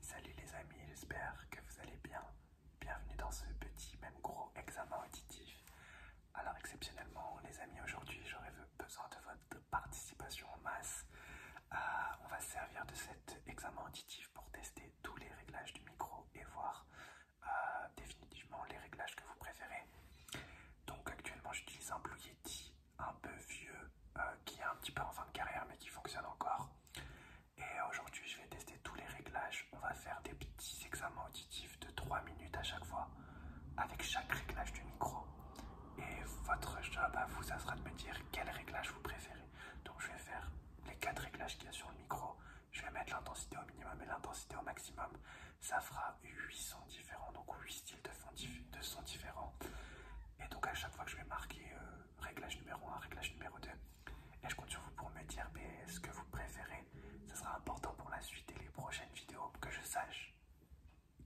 Salut les amis, j'espère que vous allez bien. Bienvenue dans ce petit, même gros examen auditif. Alors exceptionnellement les amis, aujourd'hui j'aurais besoin de votre participation en masse. Euh, on va servir de cet examen auditif pour tester tous les réglages du micro et voir euh, définitivement les réglages que vous préférez. Donc actuellement j'utilise un Blue Yeti un peu vieux, euh, qui est un petit peu en fin de carrière mais qui fonctionne encore. Et aujourd'hui, je vais tester tous les réglages. On va faire des petits examens auditifs de 3 minutes à chaque fois avec chaque réglage du micro. Et votre job à vous, ça sera de me dire quel réglage vous préférez. Donc, je vais faire les quatre réglages qu'il y a sur le micro. Je vais mettre l'intensité au minimum et l'intensité au maximum. Ça fera 8 sons différents, donc 8 styles de, sons différents. Et donc, à chaque fois que je vais marquer. Euh, réglage numéro 1, réglage numéro 2. Et je compte sur vous pour me dire ce que vous préférez. Ce sera important pour la suite et les prochaines vidéos que je sache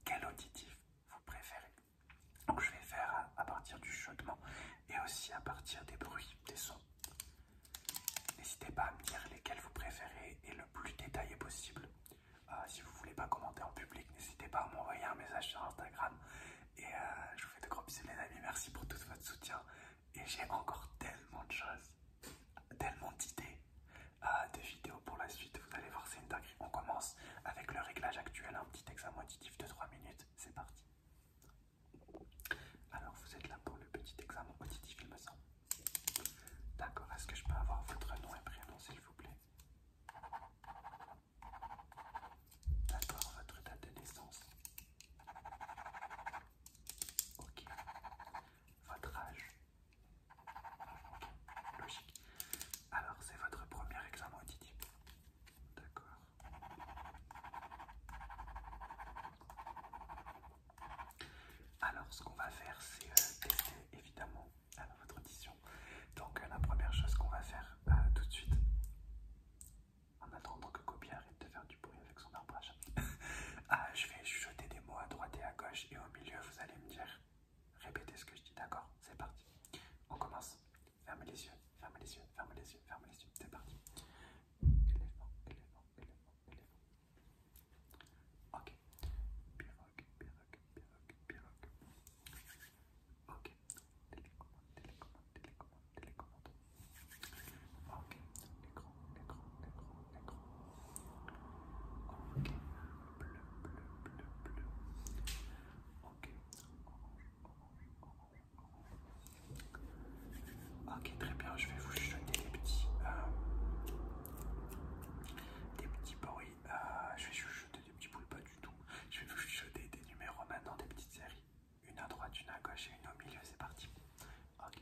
quel auditif vous préférez. Donc je vais faire à, partir du chaudement et aussi à partir des bruits, des sons. N'hésitez pas à me dire lesquels vous préférez et le plus détaillé possible. Euh, si vous voulez pas commenter en public, n'hésitez pas à m'envoyer un message sur Instagram et euh, je vous fais de gros bisous les amis, merci pour tout votre soutien. Et j'ai encore tellement de choses, tellement d'idées euh, de vidéos pour la suite. Vous allez voir, c'est une dinguerie. On commence avec le réglage actuel, un petit examen auditif de 3 minutes. C'est parti. Alors vous êtes là pour le petit examen auditif, il me semble. D'accord, est-ce que je peux avoir votre nom et prénom s'il vous plaît D'accord, votre date de naissance. Ok. Votre âge. logique. Alors, c'est votre premier examen auditif. D'accord. Alors, ce qu'on va faire, c'est euh, tester évidemment votre audition. Donc, euh, la première chose qu'on va faire euh, tout de suite, en attendant que Gobi arrête de faire du bruit avec son arbre à chat. ah, je vais chuchoter des mots à droite et à gauche, et au milieu, vous allez me dire. Répétez ce que je dis, d'accord C'est parti. On commence. Fermez les yeux, fermez les yeux, fermez les yeux, fermez les yeux. C'est parti. Ok. Pirogue, pirogue, pirogue, pirogue. Ok. Télécommande, télécommande, télécommande, télécommande. Ok, écran, écran, écran, écran. Ok, bleu, bleu, bleu, bleu. Ok, ok, très bien, je vais vous chuchoter euh, des petits bruits. Euh, je vais chuchoter des petits bruits, pas du tout. Je vais vous chuchoter des numéros maintenant, des petites séries. Une à droite, une à gauche et une au milieu, c'est parti. Ok.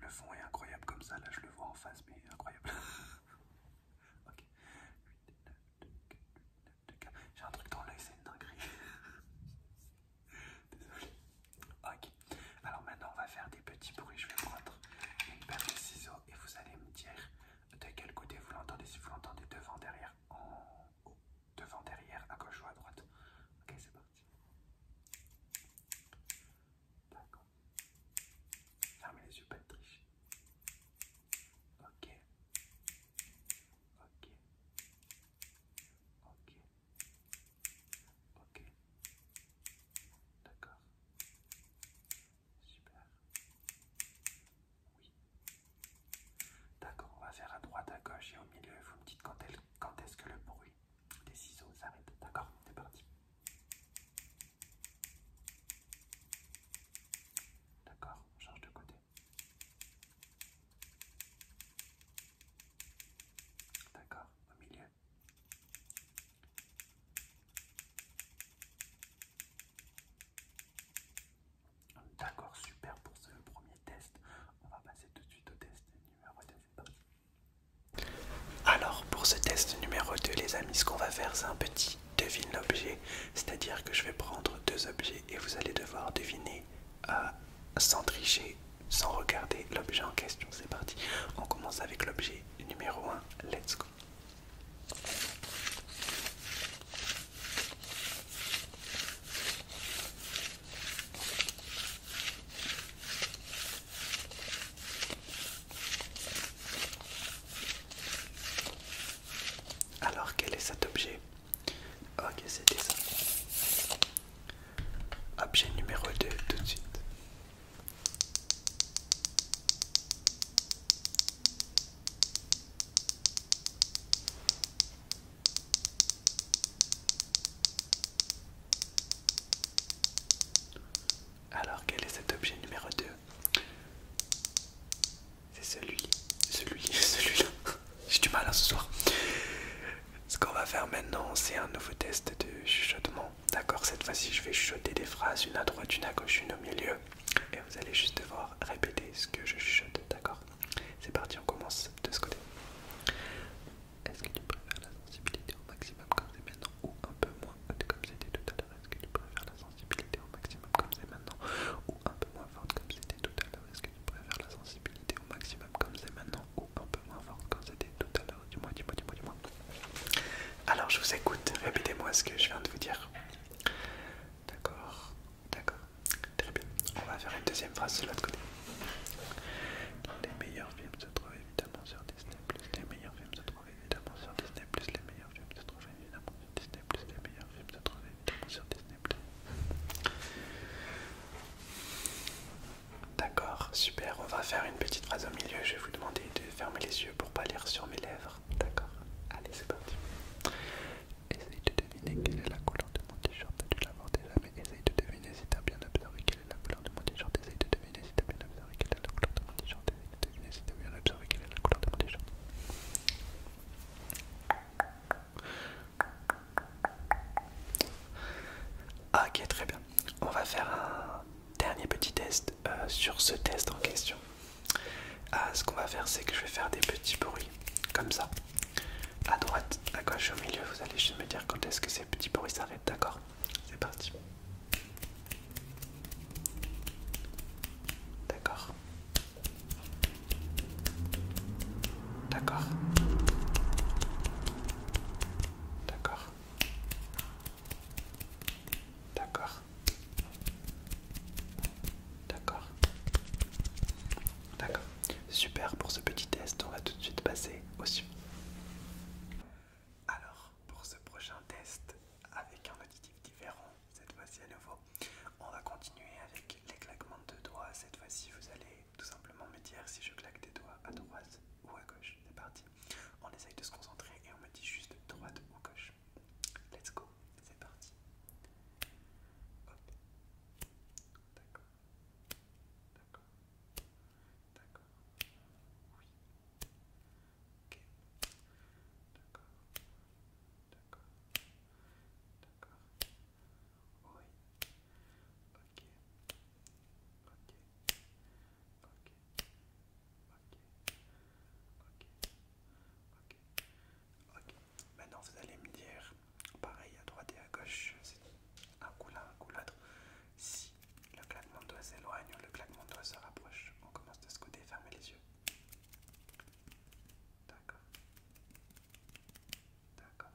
Le fond est incroyable comme ça, là je le vois en face mais... incroyable. un un truc c'est Désolé. Ok. Alors maintenant, on va faire des petits bruits. Je vais prendre une paire de ciseaux et vous allez me dire de quel côté vous l'entendez. Si vous l'entendez devant, derrière, en haut, devant, derrière, à gauche ou à droite. Ok, c'est parti. D'accord. Fermez les yeux, pas triche. Ok. Ok. Ok. Ok. D'accord. Super. Oui. D'accord, on va faire à droite, à gauche et au milieu. Vous me dites quand, est-ce que le bruit des ciseaux s'arrête. D'accord, c'est parti. D'accord, on change de côté. D'accord, au milieu. D'accord, super pour ce premier test. On va passer tout de suite au test numéro 2. Alors, pour ce test numéro 2, les amis, ce qu'on va faire, c'est un petit devine l'objet. C'est-à-dire que je vais prendre deux objets et vous allez devoir deviner euh, sans tricher sans regarder l'objet en question. C'est parti. On commence avec l'objet numéro 1. Let's go. Alors quel est cet objet Ok c'était ça. Objet numéro 2 tout de suite. Alors quel est cet objet numéro 2 C'est celui, celui, celui-là. J'ai du mal à hein, ce soir. Ce qu'on va faire maintenant, c'est un nouveau test de chuchotement. D'accord Cette fois-ci, je vais chuchoter des phrases, une à droite, une à gauche, une au milieu. Et vous allez juste devoir répéter ce que je chuchote. D'accord C'est parti, on commence de ce côté. Est-ce que tu préfères la sensibilité au maximum comme c'est maintenant ou un peu moins comme c'était tout à l'heure Est-ce que tu préfères la sensibilité au maximum comme c'est maintenant ou un peu moins forte comme c'était tout à l'heure Est-ce que tu préfères la sensibilité au maximum comme c'est maintenant ou un peu moins fort quand c'était tout à l'heure, du moins, du moins, du mois du moins. Alors je vous écoute, répétez-moi ce que je viens de vous dire. D'accord, d'accord, très bien. On va faire une deuxième phrase de l'autre côté. Les meilleurs films se trouvent évidemment sur Disney+, les meilleurs films se trouvent évidemment sur Disney+, les meilleurs films se trouvent évidemment sur Disney+, les meilleurs films se trouvent évidemment sur Disney+. D'accord, super. On va faire une petite phrase au milieu. Je vais vous demander de fermer les yeux pour pas lire sur mes lèvres. D'accord Allez, c'est parti. Essaye de deviner quelle est la couleur de mon t-shirt. Tu l'as déjà, mais essaye de deviner si tu as bien observé quelle est la couleur de mon t-shirt. Essaye de deviner si as bien observé quelle est la couleur de mon t-shirt. Essaye de deviner si tu as bien observé quelle est la couleur de mon t-shirt. Ah, ok, très bien. On va faire un dernier petit test euh, sur ce test en question. Ah, ce qu'on va faire, c'est que je vais faire des petits bruits, comme ça. À droite, à gauche, au milieu, vous allez juste me dire quand est-ce que ces petits bruits s'arrêtent, d'accord C'est parti. D'accord. D'accord. D'accord. D'accord. D'accord. D'accord. Super pour ce petit test, on va tout de suite passer au suivant. Alors, pour ce prochain test, avec un auditif différent, cette fois-ci à nouveau, on va continuer avec les claquements de doigts. Cette fois-ci, vous allez tout simplement me dire si je claque des doigts à droite ou à gauche. C'est parti. On essaye de se concentrer et on me dit juste droite ou gauche. Let's go, c'est parti. Hop. D'accord. D'accord. D'accord. Oui. Ok. D'accord. D'accord. D'accord. Oui ok, ok, ok, ok, ok, ok. Maintenant vous allez me dire, pareil à droite et à gauche, un coup l'un, un coup l'autre. Si le claquement de doigts s'éloigne ou le claquement de se rapproche, on commence de ce côté, fermez les yeux. D'accord. D'accord.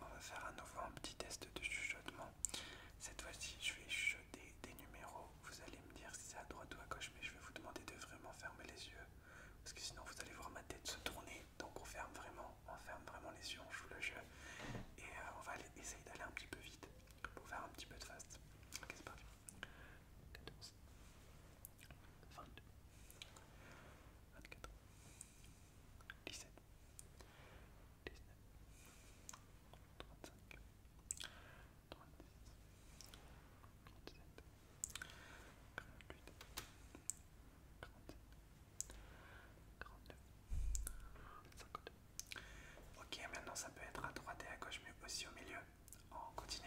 on va faire à nouveau un petit test de chuchotement. Cette fois-ci, je vais chuchoter des numéros. Vous allez me dire si c'est à droite ou à gauche, mais je vais vous demander de vraiment fermer les yeux. Parce que sinon, vous allez voir ma tête se tourner. Donc, on ferme vraiment, on ferme vraiment les yeux, on joue le jeu. Et euh, on va essayer d'aller un petit peu vite pour faire un petit peu de fast. c'est 14, 22, 24, 17, Ok, maintenant ça peut être à droite et à gauche, mais aussi au milieu. On continue.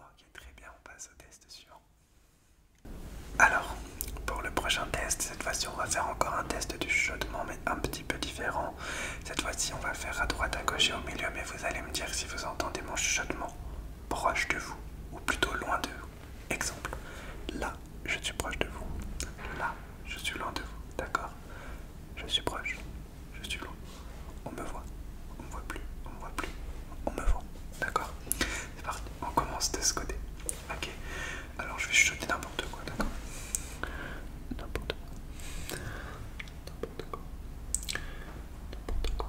Ok, très bien, on passe au test suivant. Alors, pour le prochain test, cette fois-ci on va faire encore un test du chuchotement mais un petit peu différent. Cette fois-ci on va faire à droite, à gauche et au milieu, mais vous allez me dire si vous entendez mon chuchotement proche de vous, ou plutôt loin de vous. Exemple, là, je suis proche de vous. Là, je suis loin de vous. D'accord Je suis proche. Je suis loin. On me voit. On me voit plus. On me voit plus. On me voit. D'accord C'est parti. On commence de ce côté. Ok. Alors je vais chuchoter n'importe quoi. D'accord N'importe quoi. N'importe quoi. N'importe quoi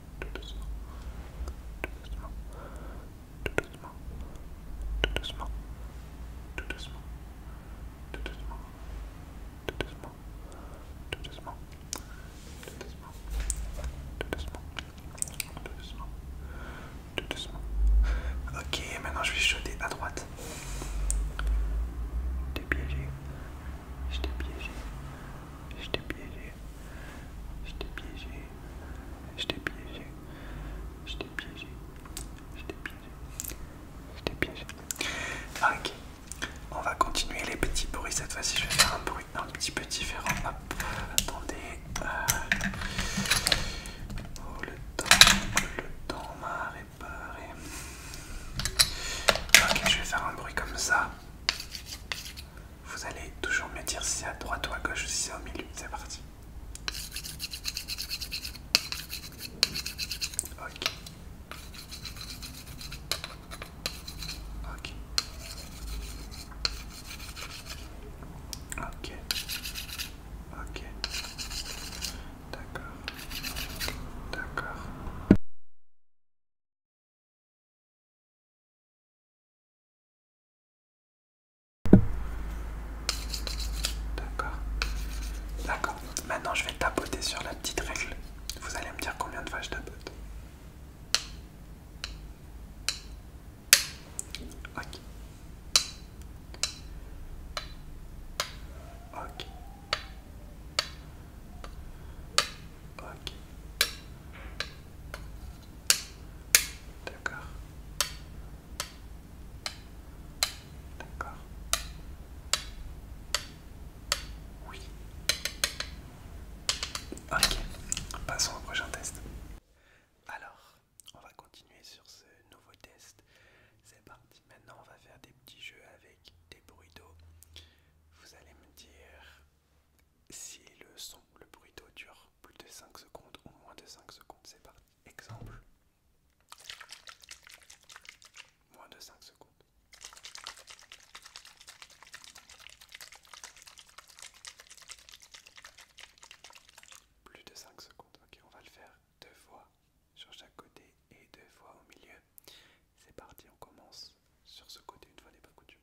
tout doucement, tout doucement, tout doucement, tout doucement, tout doucement, tout doucement, tout doucement, tout doucement, tout doucement, tout doucement, tout doucement, tout doucement. Ok, maintenant je vais jeter à droite. Je t'ai piégé. Je t'ai piégé. Je t'ai piégé. J'étais Je t'ai piégé. Je t'ai piégé. Je t'ai piégé. j'étais piégé. j'étais piégé. Ah, ok. On va continuer les petits bruits. Cette fois-ci, je vais faire un bruit un petit peu différent. Hop. Attendez. Euh, oh, le temps. Le temps m'a réparé. Ok, je vais faire un bruit comme ça. Vous allez toujours me dire si c'est à droite ou à gauche, si c'est au milieu. C'est parti. Ok. Ok. Ok. Ok. D'accord. D'accord. D'accord. D'accord. Maintenant, je vais tapoter sur la petite règle. Vous allez me dire combien de fois je tapote. Ok. Ok. Ok. D'accord. D'accord. Oui. Ok, passons au prochain test. Alors, on va continuer sur ce nouveau test. C'est parti, maintenant on va faire des petits jeux avec des bruits d'eau. Vous allez me dire si le son, le d'eau dure plus de 5 secondes ou moins de 5 secondes, c'est parti. Exemple. Moins de 5 secondes. Plus de 5 secondes. Ok, on va le faire deux fois sur chaque côté et deux fois au milieu. C'est parti, on commence sur ce côté une fois n'est pas coutume.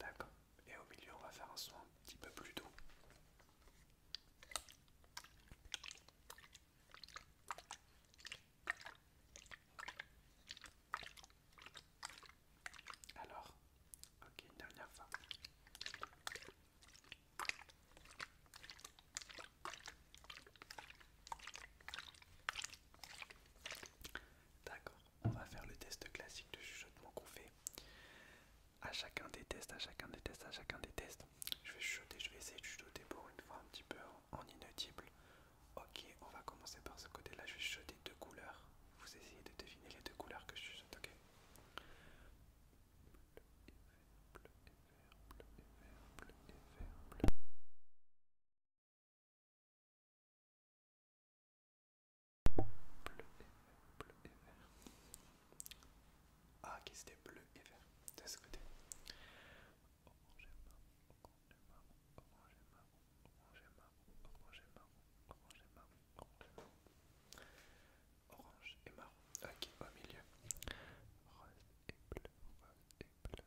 D'accord. Et au milieu, on va faire un son un petit peu plus doux. Alors, ok, dernière fois. D'accord, on va faire le test classique de chuchotement qu'on fait. À chacun des tests, à chacun des tests, à chacun des tests. Je vais chuchoter, je vais essayer de chuchoter pour une fois un petit peu en, Ok, on va commencer par ce côté-là. Je vais chuchoter deux couleurs. Vous essayez de deviner les deux couleurs que je chuchote, ok Bleu et, bleu et vert. Ah, qui c'était bleu et vert de ce côté. Orange et marron, orange et marron, orange et marron, orange et marron, orange et marron, orange et marron, orange et marron. Orange et marron. Ok, au milieu. Rose et bleu, rose et bleu,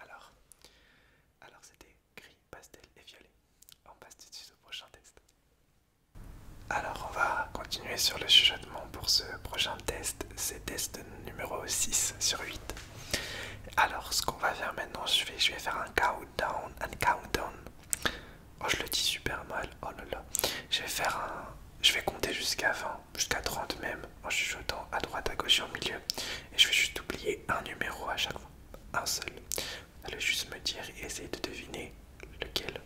Alors, alors c'était gris, pastel et violet. On passe tout de suite au prochain test. Alors on va continuer sur le chuchotement pour ce prochain test. C'est test numéro 6 sur 8. Alors, ce qu'on va faire maintenant, je vais, faire un countdown, un countdown. Oh, je le dis super mal. Oh là Je vais faire un. Je vais compter jusqu'à 20, jusqu'à 30 même, en chuchotant à droite, à gauche et au milieu. Et je vais juste oublier un numéro à chaque fois. Un seul. Vous allez juste me dire et essayer de deviner lequel.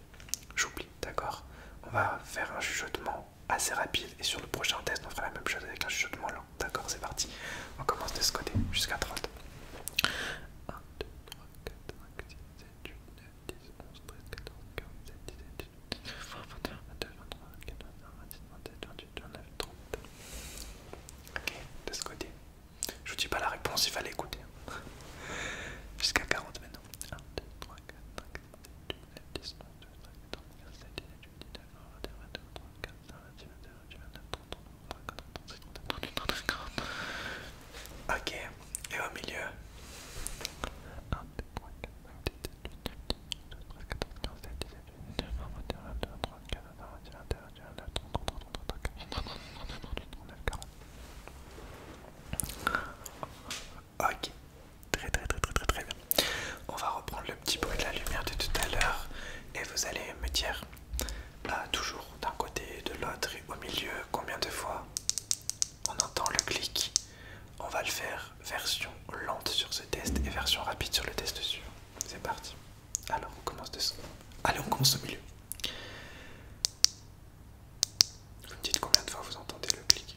J'oublie, d'accord On va faire un chuchotement assez rapide et sur le prochain test, on fera la même chose avec un chuchotement long. D'accord, c'est parti. On commence de ce côté jusqu'à 30. 1, 2, 3, 4, 5, 6, 7, 8, 9, 10, 11, 13, 14, 15, 17, 18, 19, 20, 21, 22, 23, 24, 25, 27, 28, 29, 30. Ok, de ce côté. Je vous dis pas la réponse, il fallait écouter. Jusqu'à 40 maintenant. 1, 2, 3, 4, 5, 6, 7, 8, 9, 10, 11, 12, 13, 14, 15, 16, 17, 18, 19, 20, 21, 22, 23, 24, 25, 26, 27, 28, 29, 30, Ok, et au milieu. Ok, très très très très très très bien. On va reprendre le petit bruit de la lumière de tout à l'heure et vous allez me dire Là, ah, toujours d'un côté, de l'autre et au milieu, combien de fois on entend le clic. On va le faire version lente sur ce test et version rapide sur le test sûr. C'est parti. Alors on commence de son Allez, on commence au milieu. Vous me dites combien de fois vous entendez le clic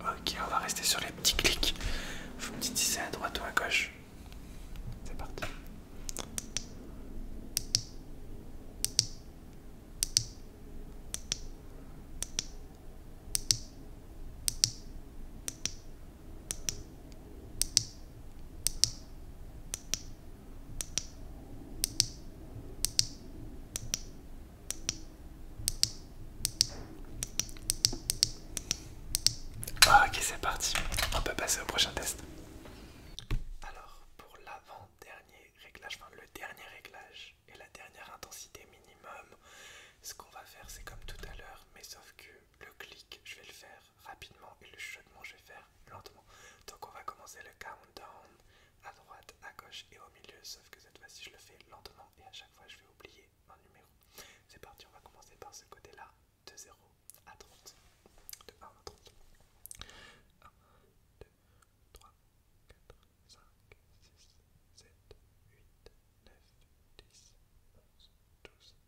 Ok, on va rester sur les petits clics. Faut me dire c'est à droite ou à gauche. C'est parti. Ok, c'est parti. On peut passer au prochain test. Alors, pour l'avant-dernier réglage, enfin le dernier réglage et la dernière intensité minimum, ce qu'on va faire, c'est comme tout à l'heure, mais sauf que le clic, je vais le faire rapidement et le chuchotement, je vais faire lentement. Donc on va commencer le countdown à droite, à gauche et au milieu, sauf que cette fois-ci je le fais lentement et à chaque fois je vais oublier un numéro. C'est parti, on va commencer par ce côté-là, de 0 à 30. 1 2, 3, 4, 5, 6, 7, 8, 9, 10, 11, 12,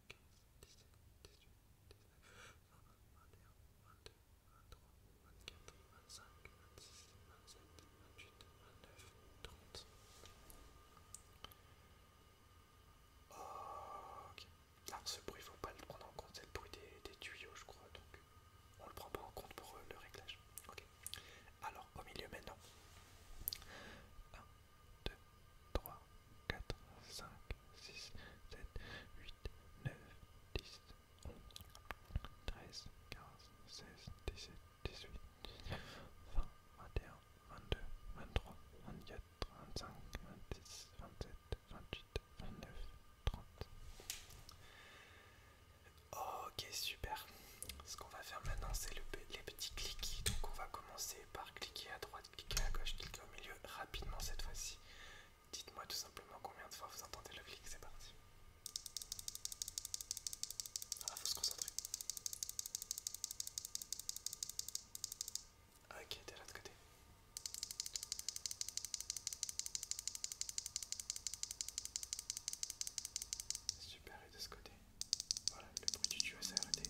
Ok. Ah, Alors ce bruit, il faut pas le prendre en compte, c'est le bruit des, tuyaux, je crois, donc on le prend pas en compte pour euh, le réglage. Ok. Alors au milieu maintenant. 2, 3, 4, 5, 6, 7, 8, 9, 10, 11, 13, 15, 16, 17, 18, 19, 20, 21, 22, 23, 24, 25, 26, 27, 28, 29, 30. Ok, super. Ce qu'on va faire maintenant, c'est les petits clics. Donc on va commencer par cliquer à droite cliquez à gauche, cliquez au milieu, rapidement cette fois-ci. Dites-moi tout simplement combien de fois vous entendez le clic, c'est parti. il ah, faut se concentrer. Ok, de l'autre côté. Super, et de ce côté. Voilà, le bruit du tuyau s'est arrêté.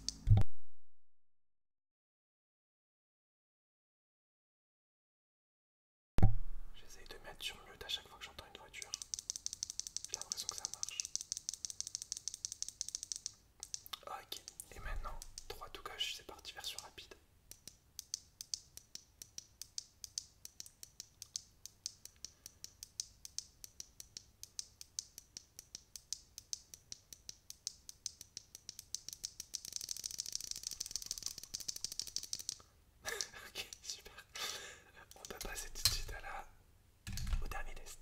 J'essaye de mettre sur mute à chaque fois que j'entends une voiture. J'ai l'impression que ça marche. Ok, et maintenant, droit ou gauche, c'est parti, version rapide. ok, super. On va passer tout de suite au dernier test.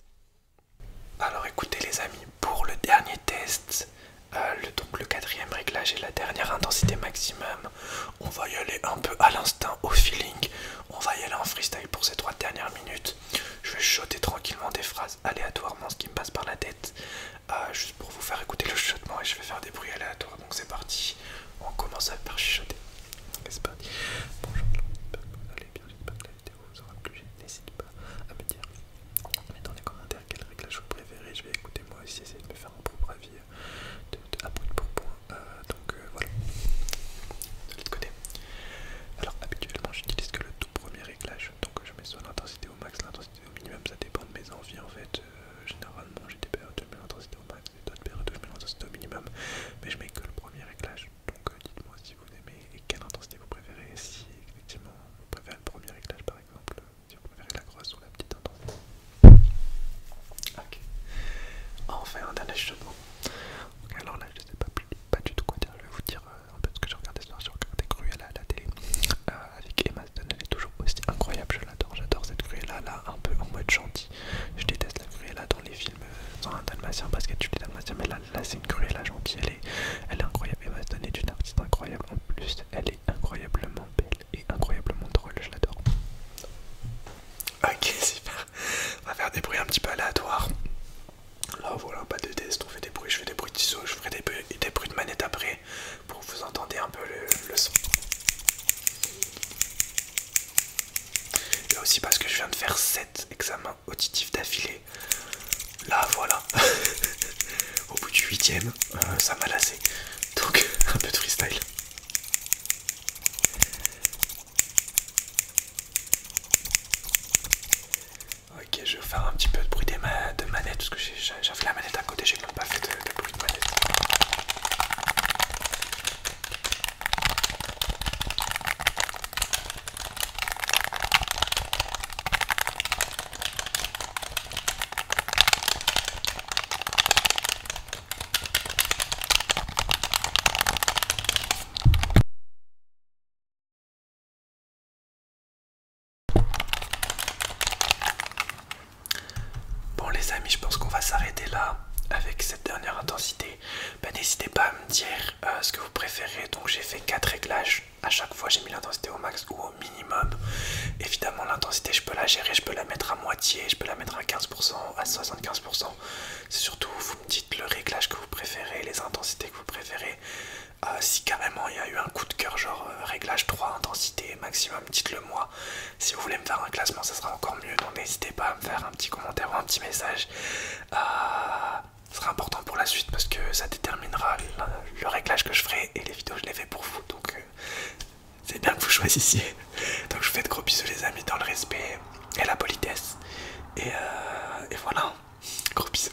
Alors écoutez les amis, pour le dernier test, euh, le, donc le quatrième réglage et la dernière intensité maximum, on va y aller un peu à l'instinct, au feeling. On va y aller en freestyle pour ces trois dernières minutes. Je vais choter tranquillement des phrases aléatoirement ce qui me passe par la tête, euh, juste pour vous faire écouter le chuchotement et je vais faire des bruits aléatoires. Donc c'est parti, on commence à faire chuchoter. C'est parti. Bonjour, j'espère que vous allez bien, j'espère que la vidéo vous aura plu. N'hésite pas à me dire mettons dans les commentaires quel réglage vous préférez. Je vais écouter moi aussi, essayer de me faire un propre avis euh, de, de, à pour point. Euh, donc voilà, de l'autre côté. Alors habituellement j'utilise que le tout premier réglage, donc je mets son l'intensité au max, au minimum, ça dépend de mes envies en fait. Euh, généralement, j'ai des périodes de 2000 d'intensité au max et d'autres périodes de 2000 l'intensité au minimum, mais je mets que le premier réglage. Donc euh, dites-moi si vous aimez et quelle intensité vous préférez. Si effectivement vous préférez le premier réglage par exemple, euh, si vous préférez la grosse ou la petite intensité. Ok. Enfin un dernier chemin. Alors là, je sais pas, pas du tout quoi dire. Je vais vous dire euh, un peu ce que je regardais ce soir, je regardais cruelle à la télé euh, avec Emma Stone, elle est toujours aussi incroyable, je l'adore, j'adore cette cruelle là, un peu en mode gentil. Je déteste la cruelle-là dans les films, dans euh, un Dalmatien parce qu'elle tu dis Dalmatien. mais là, c'est une cruelle-là gentille, elle est, elle est incroyable. Emma Stone est une artiste incroyable, en plus elle est incroyablement belle et incroyablement drôle, je l'adore. Ok, super, on va faire des bruits un petit peu aléatoires. Là voilà, pas de test, on fait des bruits, je fais des bruits de ciseaux, je ferai des bruits, de manette après pour que vous entendez un peu le, son. Et aussi parce que je viens de faire 7 examens auditifs d'affilée. Là voilà, au bout du huitième, euh, ça m'a lassé. Donc un peu de freestyle. Ok, je vais faire un petit peu de bruit des ma de manette parce que j'ai fait la manette à côté, j'ai même pas fait de bruit de manette. Bon les amis, je pense qu'on va s'arrêter là avec cette dernière intensité. Ben, n'hésitez pas à me dire euh, ce que vous préférez. Donc j'ai fait 4 réglages. À chaque fois j'ai mis l'intensité au max ou au minimum. Évidemment l'intensité je peux la gérer, je peux la mettre à moitié, je peux la mettre à 15%, à 75%. C'est surtout vous me dites le réglage que vous préférez, les intensités que vous préférez. Ah, si carrément il y a eu un coup de cœur, genre euh, réglage 3, intensité maximum, dites-le moi. Si vous voulez me faire un classement, ça sera encore mieux. Donc n'hésitez pas à me faire un petit commentaire ou un petit message. Ah, ce sera important pour la suite parce que ça déterminera le, réglage que je ferai et les vidéos je les fais pour vous. Donc euh, c'est bien que vous choisissiez. Donc je vous fais de gros bisous les amis dans le respect et la politesse. et euh, voilà, gros bisous.